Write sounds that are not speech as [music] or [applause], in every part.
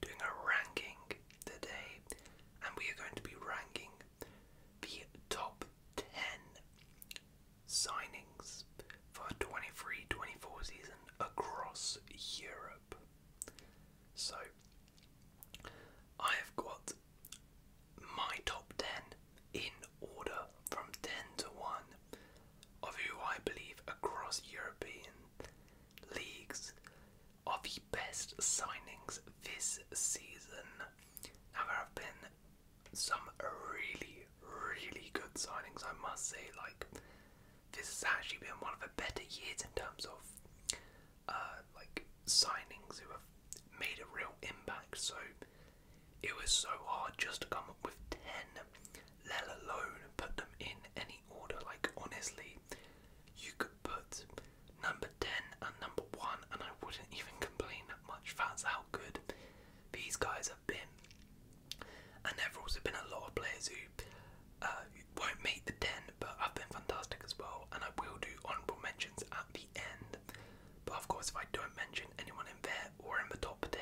doing a ranking today, and we are going to be ranking the top 10 signings for 23 24 season across Europe. So, I have got my top 10 in order from 10 to 1 of who I believe across European leagues of the best signings this season. Now, there have been some really, really good signings, I must say. Like, this has actually been one of the better years in terms of, uh, like, signings who have made a real impact. So, it was so hard just to come up with 10, let alone put them in any order. Like, honestly, you could put number 10 and number 1, and I wouldn't even complain that much. That's how good these guys have been. And there have also been a lot of players who uh, won't make the 10, but have been fantastic as well. And I will do honourable mentions at the end. But of course, if I don't mention anyone in there or in the top 10,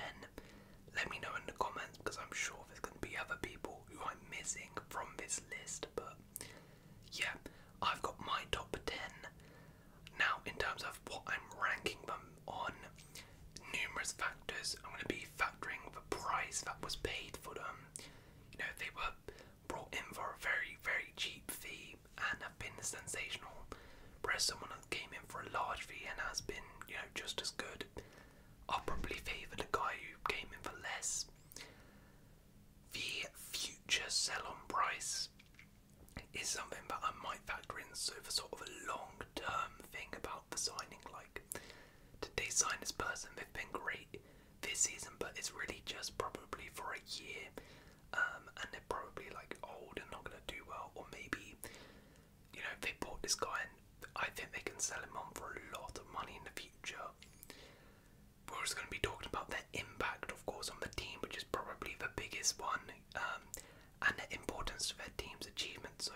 let me know in the comments because I'm sure there's going to be other people who I'm missing from this list, but yeah, I've got my top 10. Now, in terms of what I'm ranking them on, numerous factors. I'm going to be factoring the price that was paid for them. You know, they were brought in for a very, very cheap fee and have been sensational, whereas someone who came in for a large fee and has been, you know, just as good. I'll probably favour the guy who came in for less. The future sell on price is something that I might factor in so for sort of a long term thing about the signing. Like, did they this person? They've been great this season, but it's really just probably for a year. Um, and they're probably like old and not going to do well, or maybe you know they bought this guy and I think they can sell him on for a lot of money in the future. We're also going to be talking about their impact, of course, on the team, which is probably the biggest one, um, and the importance to their team's achievement. So,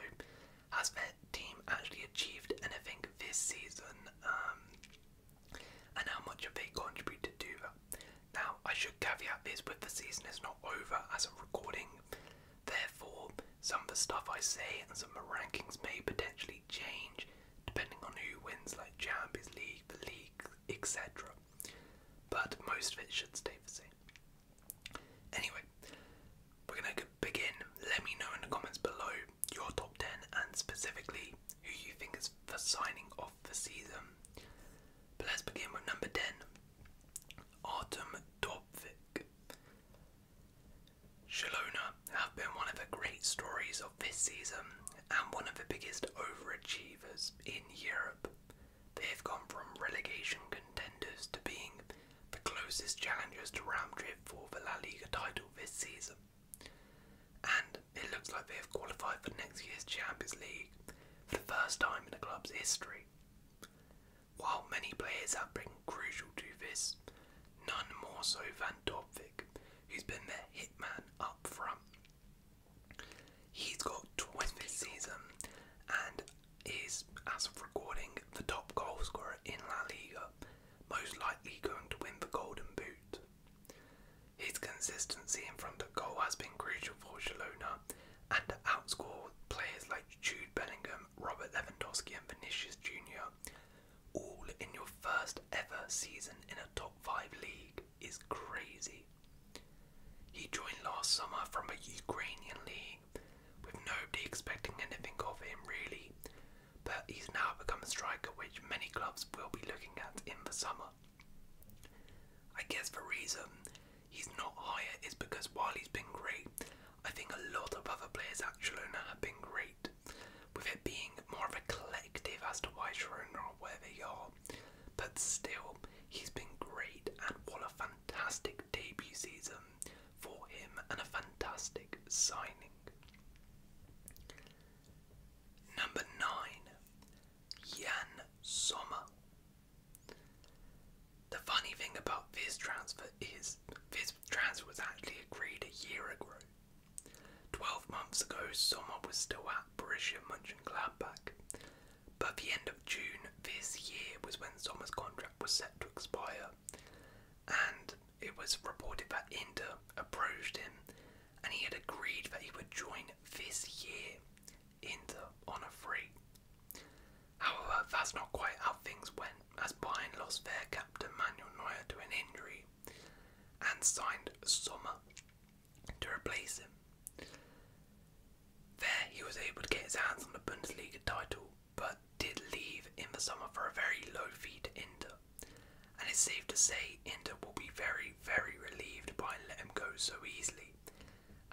has their team actually achieved anything this season, um, and how much have they contributed to that? Now, I should caveat this with the season is not over as a recording, therefore, some of the stuff I say and some of the rankings may potentially change depending on who wins, like Champions League, the league, etc. But most of it should stay the same. Anyway, we're going to begin. Let me know in the comments below your top 10 and specifically who you think is the signing off the season. But let's begin with number 10 Artem Dobvik. Shalona have been one of the great stories of this season and one of the biggest overachievers in Europe. They have gone from relegation contenders to being the closest challengers to Ramdrift for the La Liga title this season. And it looks like they have qualified for next year's Champions League for the first time in the club's history. While many players have been crucial to this, none more so than Dobvik, who's been their hitman up front. He's got 20 this season and is, as of recording, the top goalscorer in La Liga, most likely going to win the Golden Boot. His consistency in front of goal has been crucial for Shalona and to outscore players like Jude Bellingham, Robert Lewandowski, and Vinicius Jr all in your first ever season in a top 5 league is crazy. He joined last summer from a Ukrainian league with nobody expecting anything of him really, but he's now become a striker which many clubs will be looking at in the summer. I guess the reason he's not higher is because while he's been great I think a lot of other players at Girona have been great, with it being more of a collective as to why Girona or where they are. But still, he's been great, and what a fantastic debut season for him and a fantastic signing. Number 9, Jan Sommer. The funny thing about this transfer is transfer was actually agreed a year ago. Twelve months ago, Sommer was still at Borussia Mönchengladbach. But the end of June this year was when Sommer's contract was set to expire, and it was reported that Inter approached him, and he had agreed that he would join this year Inter on a free. However, that's not quite how things went as Bayern lost their captain Manuel Neuer to an injury and signed Sommer to replace him. There, he was able to get his hands on the Bundesliga title, but did leave in the summer for a very low fee to Inter. And it's safe to say Inter will be very, very relieved by letting him go so easily,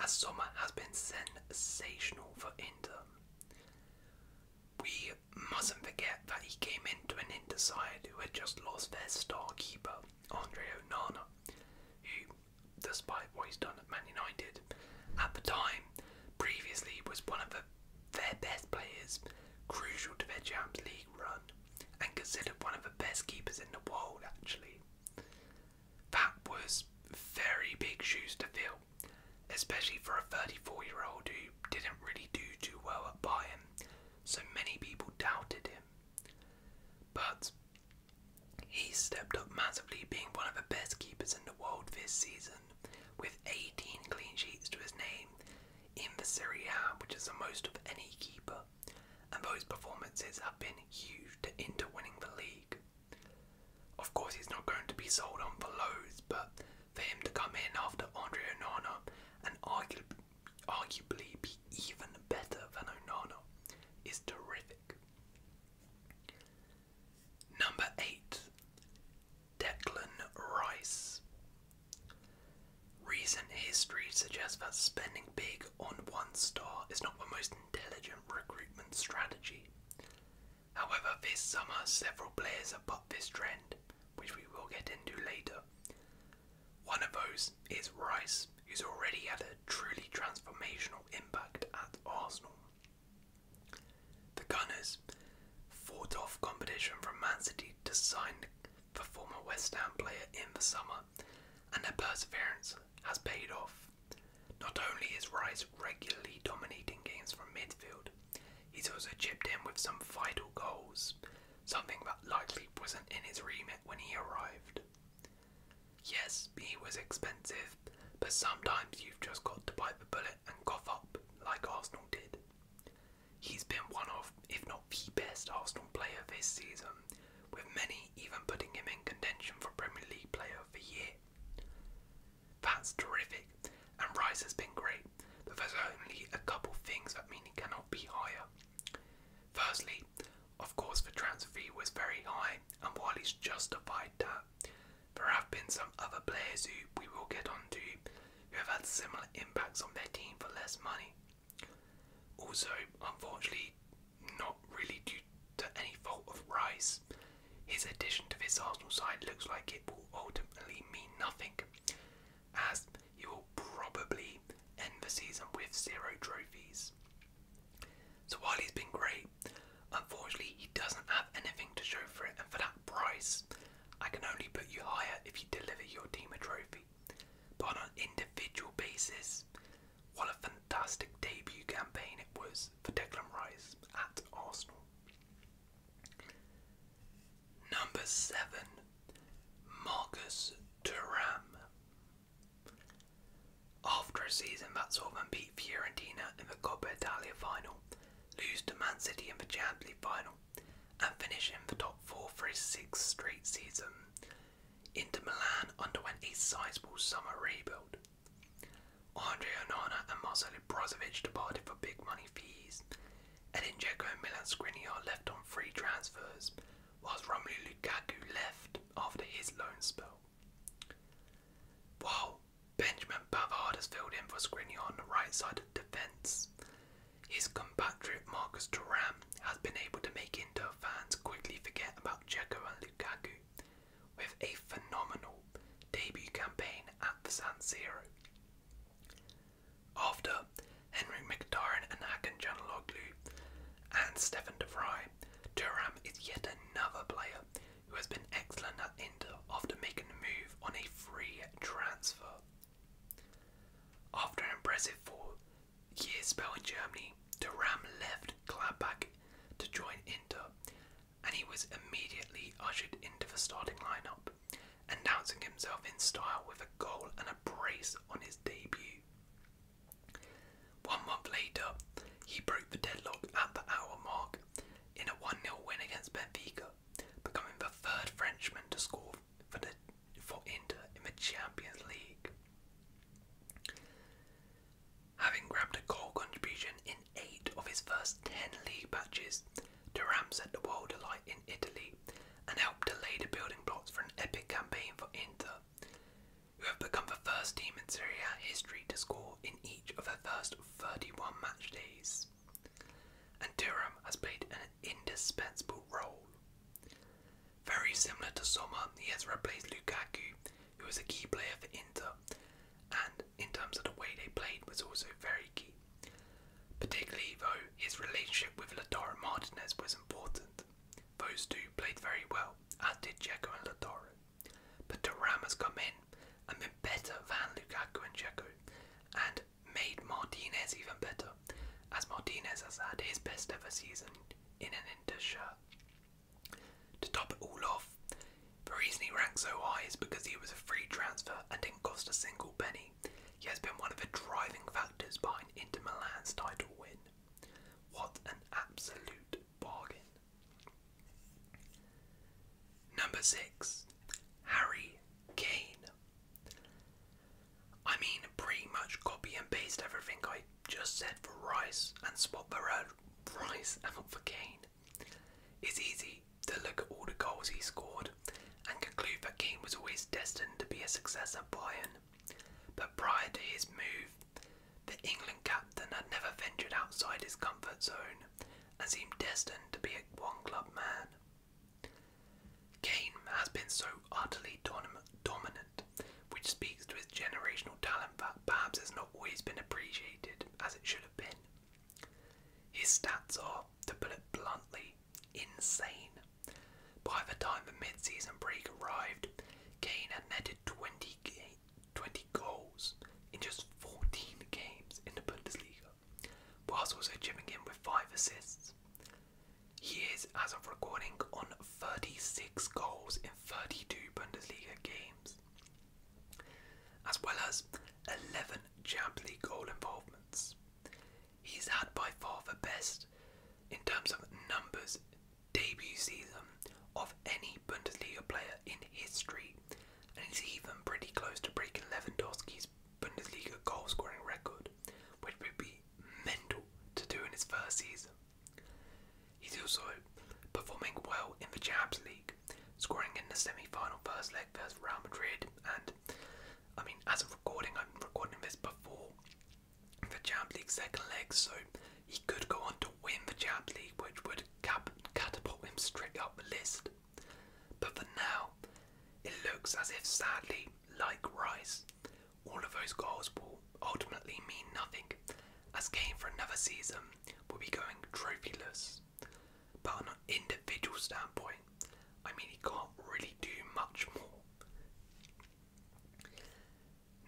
as Sommer has been sensational for Inter. We mustn't forget that he came into an Inter side who had just lost their star keeper, Andre Onana, who, despite what he's done at Man United, at the time previously was one of the, their best players, crucial to their Champions League run, and considered one of the best keepers in the world, actually. That was very big shoes to fill especially for a 34 year old who didn't really do too well at Bayern, so many people doubted him. But he stepped up massively, being one of the best keepers in the world this season, with 18 clean sheets to his name in the Serie A, which is the most of any keeper, and those performances have been huge to winning the league. Of course, he's not going to be sold on for lows, but for him to come in after Andre Onana and arguably, arguably be even better than Onana is terrific. Number 8. Declan Rice. Recent history suggests that spending big on one star is not the most intelligent recruitment strategy. However, this summer several players have bucked this trend, which we will get into later. One of those is Rice, who's already had a truly transformational impact at Arsenal. The Gunners fought off competition from Man City to sign the former West Ham player in the summer, and their perseverance has paid off. Not only is Rice regularly dominating games from midfield, He's also chipped in with some vital goals, something that likely wasn't in his remit when he arrived. Yes, he was expensive, but sometimes you've just got to bite the bullet and cough up, like Arsenal did. He's been one of, if not the best, Arsenal player this season, with many even putting him in contention for Premier League Player of the Year. That's terrific, and Rice has been great, but there's only a couple things that mean it cannot be higher. Firstly, of course, the transfer fee was very high, and while he's justified that, there have been some other players who we will get onto who have had similar impacts on their team for less money. Also, unfortunately, not really due to any fault of Rice, his addition to this Arsenal side looks like it will ultimately mean nothing, as he will probably end the season with zero trophies. So while he's been great, unfortunately he doesn't have anything to show for it, and for that price, I can only put you higher if you deliver your team a trophy. But on an individual basis, what a fantastic debut campaign it was for Declan Rice at Arsenal. Number seven, Marcus Thuram. After a season that saw them beat Fiorentina in the Coppa Italia final, lose to Man City in the Champions League final, and finish in the top four for his sixth straight season, Inter Milan underwent a sizable summer rebuild. Andre Onana and Marcelo Brozovic departed for big money signing fees, and Dzeko and Milan Skriniar left on free transfers, whilst Romelu Lukaku left after his loan spell. While Benjamin Pavard has filled in for Skriniar on the right side of defence, his compatriot Marcus Thuram has been able to make Inter fans quickly forget about Dzeko and Lukaku with a phenomenal debut campaign at the San Siro. After, Henrik Mkhitaryan and Hakan Canaloglu and Stefan de Vrij, Turam is yet another player who has been excellent at Inter after making the move on a free transfer. After an impressive four-year spell in Germany, Turam left Gladbach to join Inter and he was immediately ushered into the starting lineup, announcing himself in style with a goal and a brace on his debut. One month later, he broke the deadlock at the hour mark in a 1 0 win against Benfica, becoming the third Frenchman to score for, the, for Inter in the Champions League. Having grabbed a goal contribution in eight of his first ten league matches, Durham set the world alight in Italy and helped to lay the building blocks for an epic campaign for Inter, who have become the first team in Serie history to score in each of their first 31 match days. And Durham has played an indispensable role. Very similar to Sommer, he has replaced Lukaku, who was a key player for Inter, and in terms of the way they played was also very key. Particularly though, his relationship with Lataro Martinez was important. Those two played very well, as did Checo and Lataro. But Thuram has come in and been better than Lukaku and Checo, and made Martinez even better, as Martinez has had his best ever season in an Inter shirt. To top it all off, the reason he ranks so high is because he was a free transfer and didn't cost a single penny. He has been one of the driving factors behind Inter Milan's title win. What an absolute bargain. Number 6. Harry Kane. I mean, pretty much copy and paste everything I just said for Rice and swap the red [laughs] Rice out for Kane. It's easy to look at all the goals he scored and conclude that Keane was always destined to be a successor at Bayern. But prior to his move, the England captain had never ventured outside his comfort zone and seemed destined to be a one-club man. Kane has been so utterly dominant, which speaks to his generational talent that perhaps has not always been appreciated as it should have been. His stats are, to put it bluntly, insane. By the time the mid-season break arrived, Kane had netted 20, goals in just 14 games in the Bundesliga, whilst also chipping in with 5 assists. He is, as of recording, on 36 goals in 32 Bundesliga games as well as 11 Champions League goal involvements. He's had by far the best in terms of numbers debut season of any Bundesliga player in history, and he's even pretty close to breaking Lewandowski's Bundesliga goal scoring record, which would be mental to do in his first season. He's also performing well in the Champions League, scoring in the semi-final first leg versus Real Madrid. And I mean, as of recording, I'm recording this before the Champions League second leg, so he could go on to win the Champions League, which would cap catapult him straight up the list. But for now, it looks as if, sadly, like Rice, all of those goals will ultimately mean nothing, as game for another season will be going trophyless. But on an individual standpoint, I mean, he can't really do much more.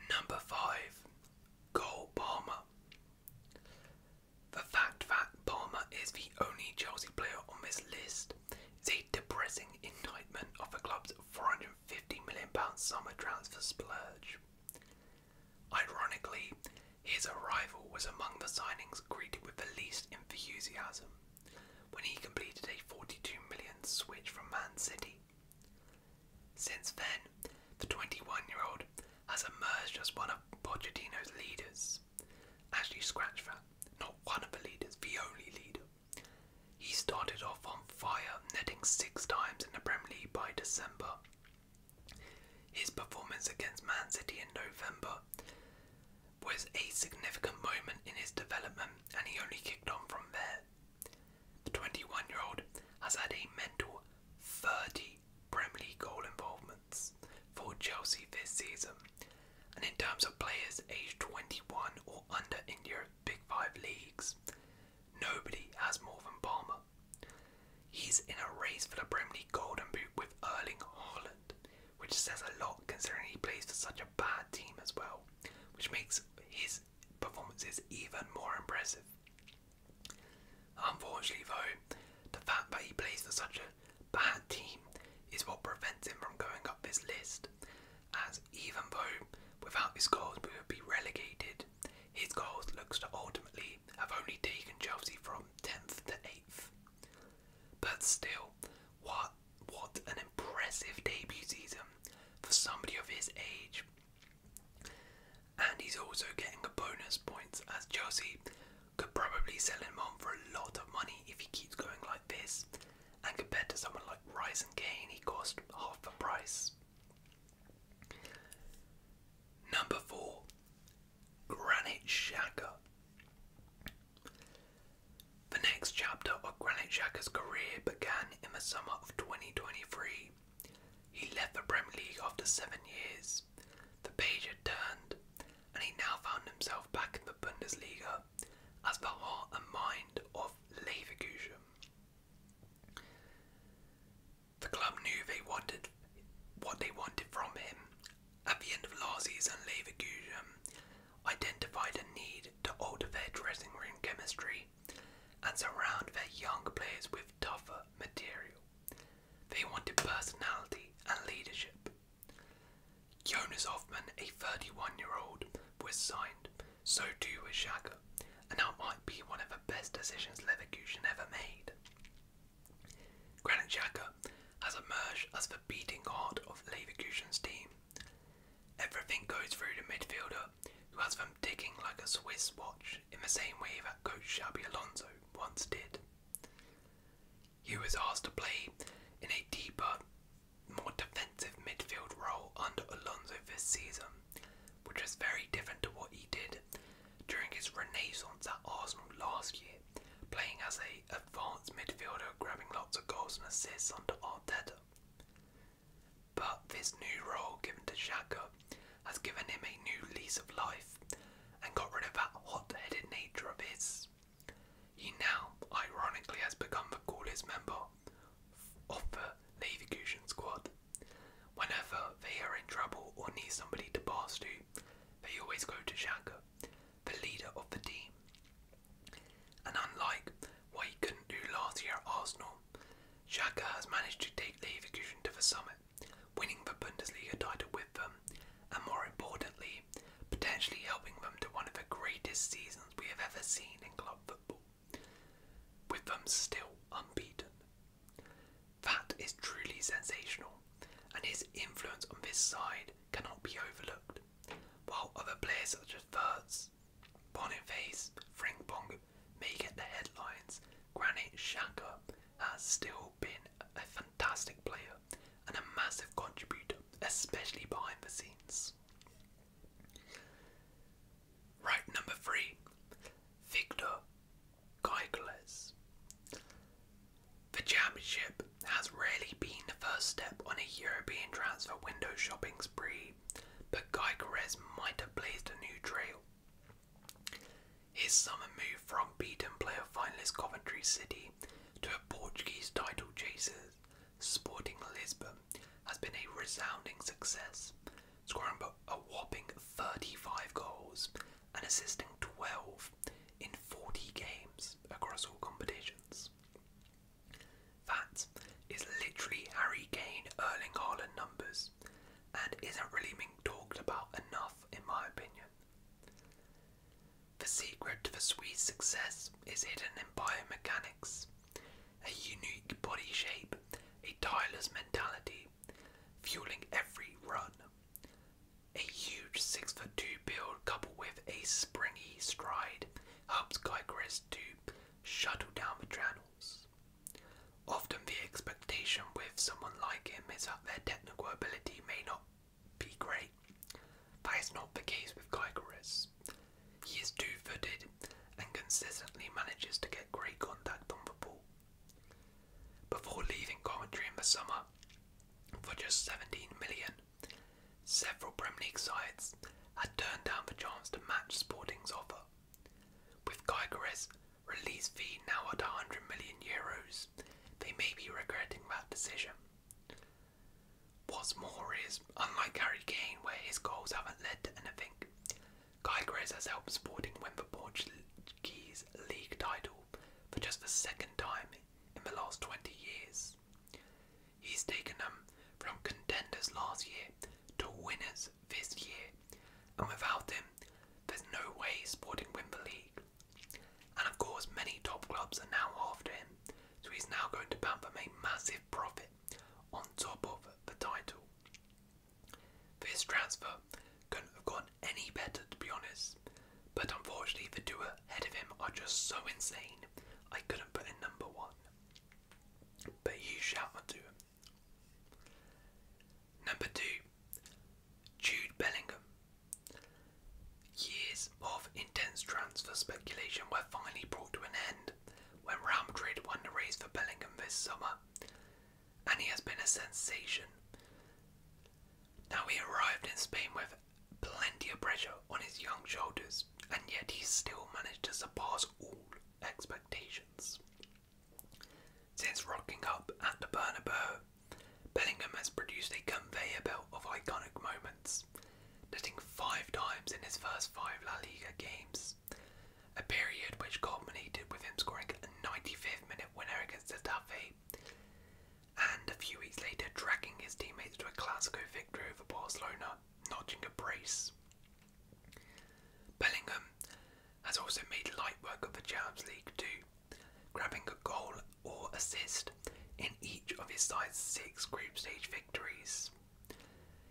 Number five, Cole Palmer. The fact that Palmer is the only Chelsea player on this list is a depressing indictment of the club's £450 million summer transfer splurge. Ironically, his arrival was among the signings greeted with the least enthusiasm when he completed a 42 million million switch from Man City. Since then, the 21-year-old has emerged as one of Pochettino's leaders. Actually, scratch that, not one of the leaders, the only leader. He started off on fire, netting six times in the Premier League by December. His performance against Man City in November was a significant moment in his development and he only kicked on from there. The 21 year old has had a mental 30 Premier League goal involvements for Chelsea this season, and in terms of players aged 21 or under in Europe's Big Five leagues, nobody has more than Palmer. He's in a race for the Brimley Golden Boot with Erling Haaland, which says a lot considering he plays for such a bad team as well, which makes his performances even more impressive. Unfortunately, though, the fact that he plays for such a bad team is what prevents him from going up this list, as even though without his goals we would be relegated, his goals looks to ultimately have only taken Chelsea from 10th to 8th. But still, what what an impressive debut season for somebody of his age. And he's also getting a bonus points as Chelsea could probably sell him on for a lot of money if he keeps going like this. And compared to someone like Rice and Kane, he cost half the price. Number four, Granite Shaka. The next chapter of Granit Shaka's career began in the summer of 2023. He left the Premier League after seven years. The page had turned, and he now found himself back in the Bundesliga as the heart and mind of Leverkusen. The club knew they wanted what they wanted from him. At the end of last season, Leverkusen identified a need to alter their dressing room chemistry and surround their young players with tougher material. They wanted personality and leadership. Jonas Hoffman, a 31 year old, was signed, so too was Shaka, and that might be one of the best decisions Leverkusen ever made. Granit Xhaka has emerged as the beating heart of Leverkusen's team. Everything goes through the midfielder, who has been ticking like a Swiss watch in the same way that coach Xabi Alonso once did. He was asked to play in a deeper, more defensive midfield role under Alonso this season, which was very different to what he did during his renaissance at Arsenal last year, playing as a advanced midfielder, grabbing lots of goals and assists under Arteta. But this new role given to Xhaka has given him a new lease of life and got rid of that hot-headed nature of his. He now, ironically, has become the coolest member of the Leverkusen squad. Whenever they are in trouble or need somebody to pass to, they always go to Shaka, the leader of the team. And unlike what he couldn't do last year at Arsenal, Shaka has managed to take Leverkusen to the summit, winning the Bundesliga title with them, and more importantly, potentially helping them to one of the greatest seasons we have ever seen in club football, with them still unbeaten. That is truly sensational, and his influence on this side cannot be overlooked. While other players such as Verts, Boniface, Frimpong may get the headlines, Granite Xhaka has still been a fantastic player and a massive contributor, especially behind the scenes. Right, number three, Victor Goigles. The championship has really been the first step on a European transfer window shopping spree, but Goigles might have blazed a new trail. His summer move from beaten player finalist Coventry City to a Portuguese title chasers, Sporting Lisbon, has been a resounding success, scoring a whopping 35 goals and assisting 12 in 40 games across all competitions. That is literally Harry Kane Erling Haaland numbers and isn't really being talked about enough, in my opinion. The secret to the Swiss success is hidden in biomechanics, a unique body shape, a tireless mentality, fueling every run. A huge six foot two build coupled with a springy stride helps Geigeris to shuttle down the channels. Often the expectation with someone like him is that their technical ability may not be great. That is not the case with Geigeris. He is two footed and consistently manages to get great contact on the ball before leaving Coventry in the summer for just 17 million. Several Premier League sides had turned down the chance to match Sporting's offer. With Gyökeres' release fee now at 100 million euros, they may be regretting that decision. What's more is, unlike Harry Kane, where his goals haven't led to anything, Gyökeres has helped Sporting win the Portuguese league title for just the second time in the last 20 years. He's taken them from contenders last year to winners this year, and without him, there's no way Sporting win the league. And of course, many top clubs are now after him, so he's now going to bump them a massive profit on top of the title. This transfer couldn't have gone any better, to be honest. But unfortunately, the two ahead of him are just so insane, I couldn't put in number one. But you shall not do it. Number two, Jude Bellingham. Years of intense transfer speculation were finally brought to an end when Real Madrid won the race for Bellingham this summer, and he has been a sensation. Now he arrived in Spain with plenty of pressure on his young shoulders, and yet he still managed to surpass all expectations. Since rocking up at the Bernabeu, Bellingham has produced a conveyor belt of iconic moments, netting five times in his first five La Liga games, a period which culminated with him scoring a 95th minute winner against Getafe and a few weeks later dragging his teammates to a Clasico victory over Barcelona, notching a brace. Bellingham has also made light work of the Champions League too, grabbing a goal or assist in each of his side's six group stage victories.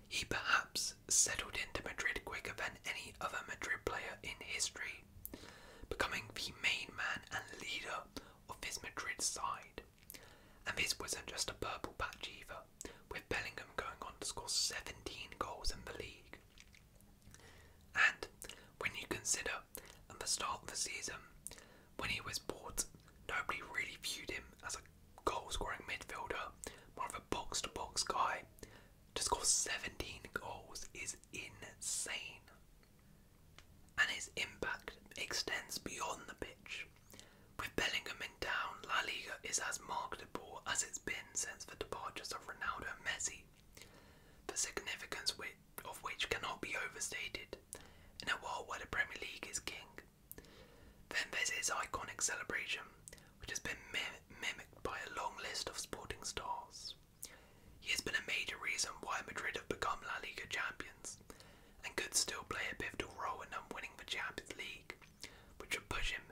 He perhaps settled into Madrid quicker than any other Madrid player in history, becoming the main man and leader of his Madrid side. And this wasn't just a purple patch either, with Bellingham going on to score 17 goals in the league. And when you consider at the start of the season, when he was bought, nobody really viewed him as a goal scoring midfielder, more of a box to box guy. To score 17 goals is insane and his impact extends beyond the pitch. With Bellingham in town, La Liga is as marketable as it's been since the departures of Ronaldo and Messi, the significance of which cannot be overstated in a world where the Premier League is king. Then there's his iconic celebration, which has been mimicked by a long list of sporting stars. He has been a major reason why Madrid have become La Liga champions and could still play a pivotal role in them winning the Champions League, which would push him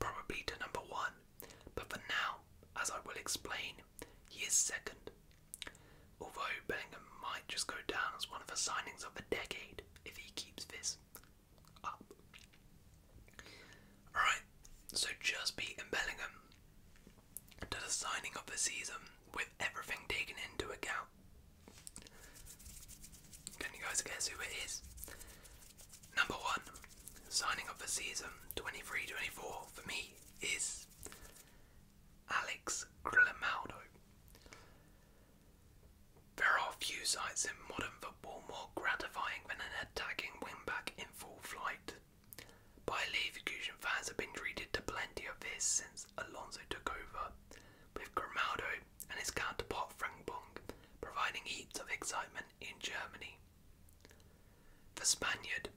probably to number one. But for now, as I will explain, he is second. Although Bellingham might just go down as one of the signings of the decade if he keeps this up. Alright, so just beating Bellingham to the signing of the season with everything taken into account. Can you guys guess who it is? Number one, signing of the season 23 24 for me is Alex Grimaldo. There are few sights in modern football more gratifying than an attacking wing back in full flight. By Leverkusen fans have been treated to plenty of this since Alonso took over, with Grimaldo and his counterpart Frank Bong providing heaps of excitement in Germany. The Spaniard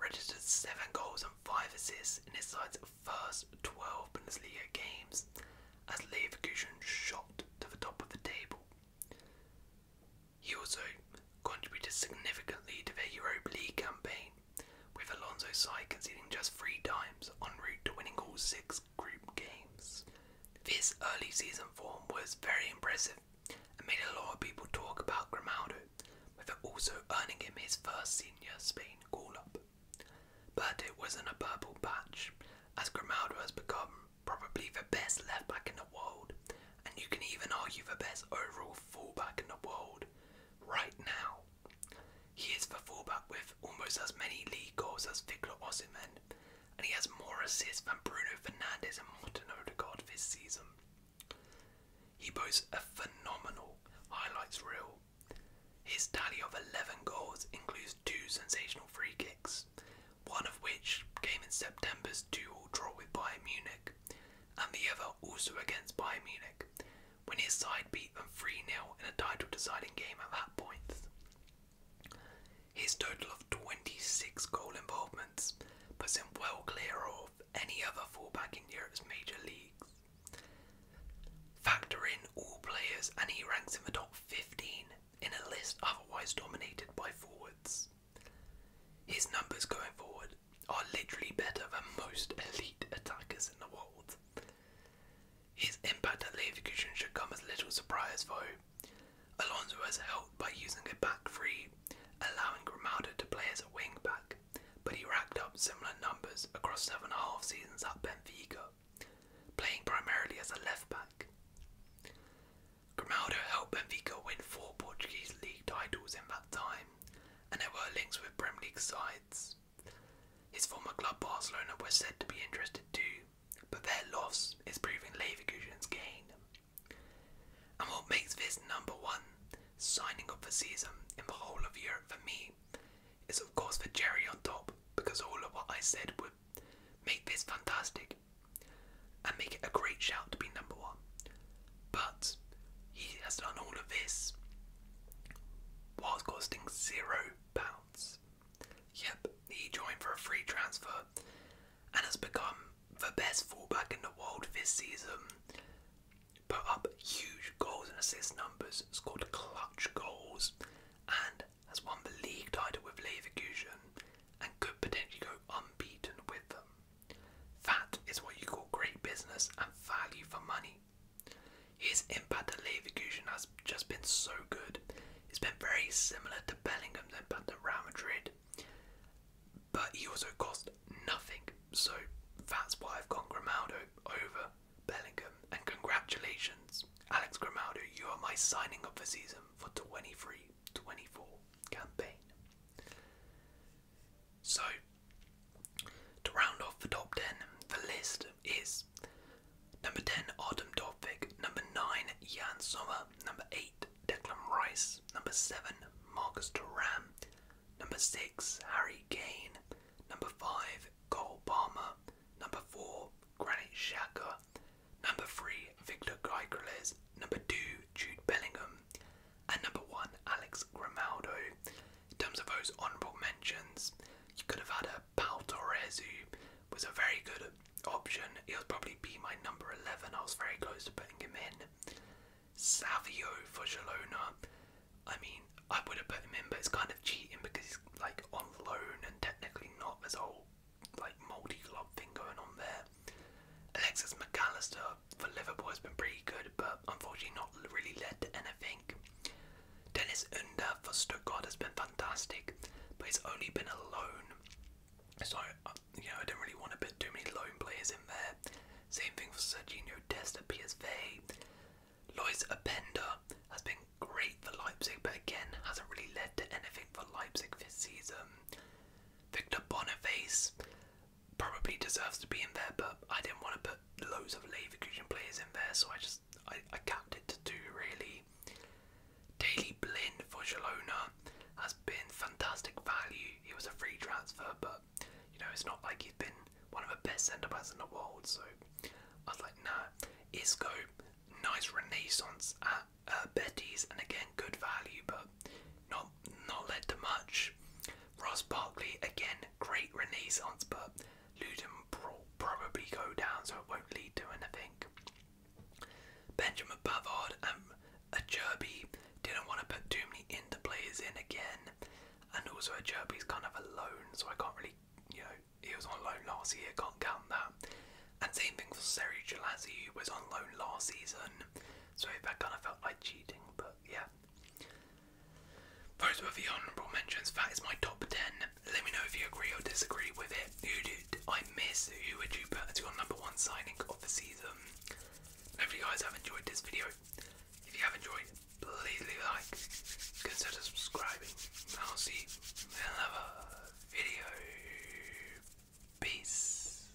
registered seven goals and five assists in his side's first 12 Bundesliga games as Leverkusen shot to the top of the table. He also contributed significantly to their Europa League campaign, with Alonso's side conceding just three times en route to winning all six group games. This early season form was very impressive and made a lot of people talk about Grimaldo, with it also earning him his first senior Spain call up. But it wasn't a purple patch, as Grimaldo has become probably the best left back in the world, and you can even argue the best overall fullback in the world right now. He is the fullback with almost as many league goals as Victor Osimhen, and he has more assists than Bruno Fernandes and Martin Odegaard this season. He boasts a phenomenal highlights reel. His tally of 11 goals includes two sensational free kicks, one of which came in September's 2 draw with Bayern Munich, and the other also against Bayern Munich, when his side beat them 3 0 in a title deciding game at that point. His total of 26 goal involvements puts him well clear of any other fullback in Europe's major leagues. Factor in all players, and he ranks in the top 15 in a list otherwise dominated by forwards. His numbers going forward are literally better than most elite attackers in the world. His impact at Leverkusen should come as little surprise though. Alonso has helped by using a back three, allowing Grimaldo to play as a wing back, but he racked up similar numbers across seven and a half seasons at Benfica, playing primarily as a left back. Grimaldo helped Benfica win four Portuguese league titles in that time, and there were links with Premier League sides. His former club Barcelona were said to be interested too, but their loss is proving Leverkusen's gain. And what makes this number one signing of the season in the whole of Europe for me is, of course, the Jerry on top, because all of what I said would make this fantastic and make it a great shout to be number one. But he has done all of this while costing zero pounds. Yep, he joined for a free transfer and has become the best fullback in the world this season. Put up huge goals and assist numbers, scored clutch goals, and has won the league title with Leverkusen and could potentially go unbeaten with them. That is what you call great business and value for money. His impact at Leverkusen has just been so good. It's been very similar to Bellingham's impact at Real Madrid. But he also cost nothing, so that's why I've gone Grimaldo over Bellingham. And congratulations, Alex Grimaldo, you are my signing of the season for 23 24 campaign. So to round off the top 10, the list is number 10, Artem Dovvik, number 9, Jan Sommer, number 8, Declan Rice, number 7, Marcus Duran, number 6, Harry Kane, number 5, Cole Palmer, number 4, Granit Xhaka, number 3, Victor Gyökeres, number 2, Jude Bellingham, and number one, Alex Grimaldo. In terms of those honourable mentions, you could have had a Pau Torres who was a very good option. he would probably be my number 11. I was very close to putting him in. Savio for Girona. I mean, I would have put him in, but it's kind of cheating because he's like on loan and technically not. as a whole like multi club thing going on there. Alexis McAllister for Liverpool has been pretty good, but unfortunately not really led to anything. Dennis Under for Stuttgart has been fantastic, but he's only been a loan. So, you know, I don't really want to put too many loan players in there. Same thing for Sergio Dest at PSV. Lois Appender has been great for Leipzig, but again, hasn't really led to anything for Leipzig this season. Victor Boniface probably deserves to be in there, but I didn't want to put loads of Leverkusen players in there, so I just I, I capped it to two really. Daily Blind for Girona has been fantastic value. He was a free transfer, but you know it's not like he's been one of the best centre backs in the world. So I was like, nah. Isco, nice renaissance at uh, Betis, and again good value, but not not led to much. Ross Barkley again, great renaissance, but Luton probably go down, so it won't lead to anything. Benjamin Pavard um, a Acherby didn't want to put too many into players in again, and also a Acherby's kind of alone, so I can't really, you know, he was on loan last year, can't count that. And same thing for Seri Gelazzi, who was on loan last season, so that kind of felt like cheating, but yeah. Those were the honourable mentions. That is my top 10. Let me know if you agree or disagree with it. Who did I miss? Who would you put as your number one signing of the season? Hopefully, you guys have enjoyed this video. If you have enjoyed, please leave a like, consider subscribing, I'll see you in another video. Peace.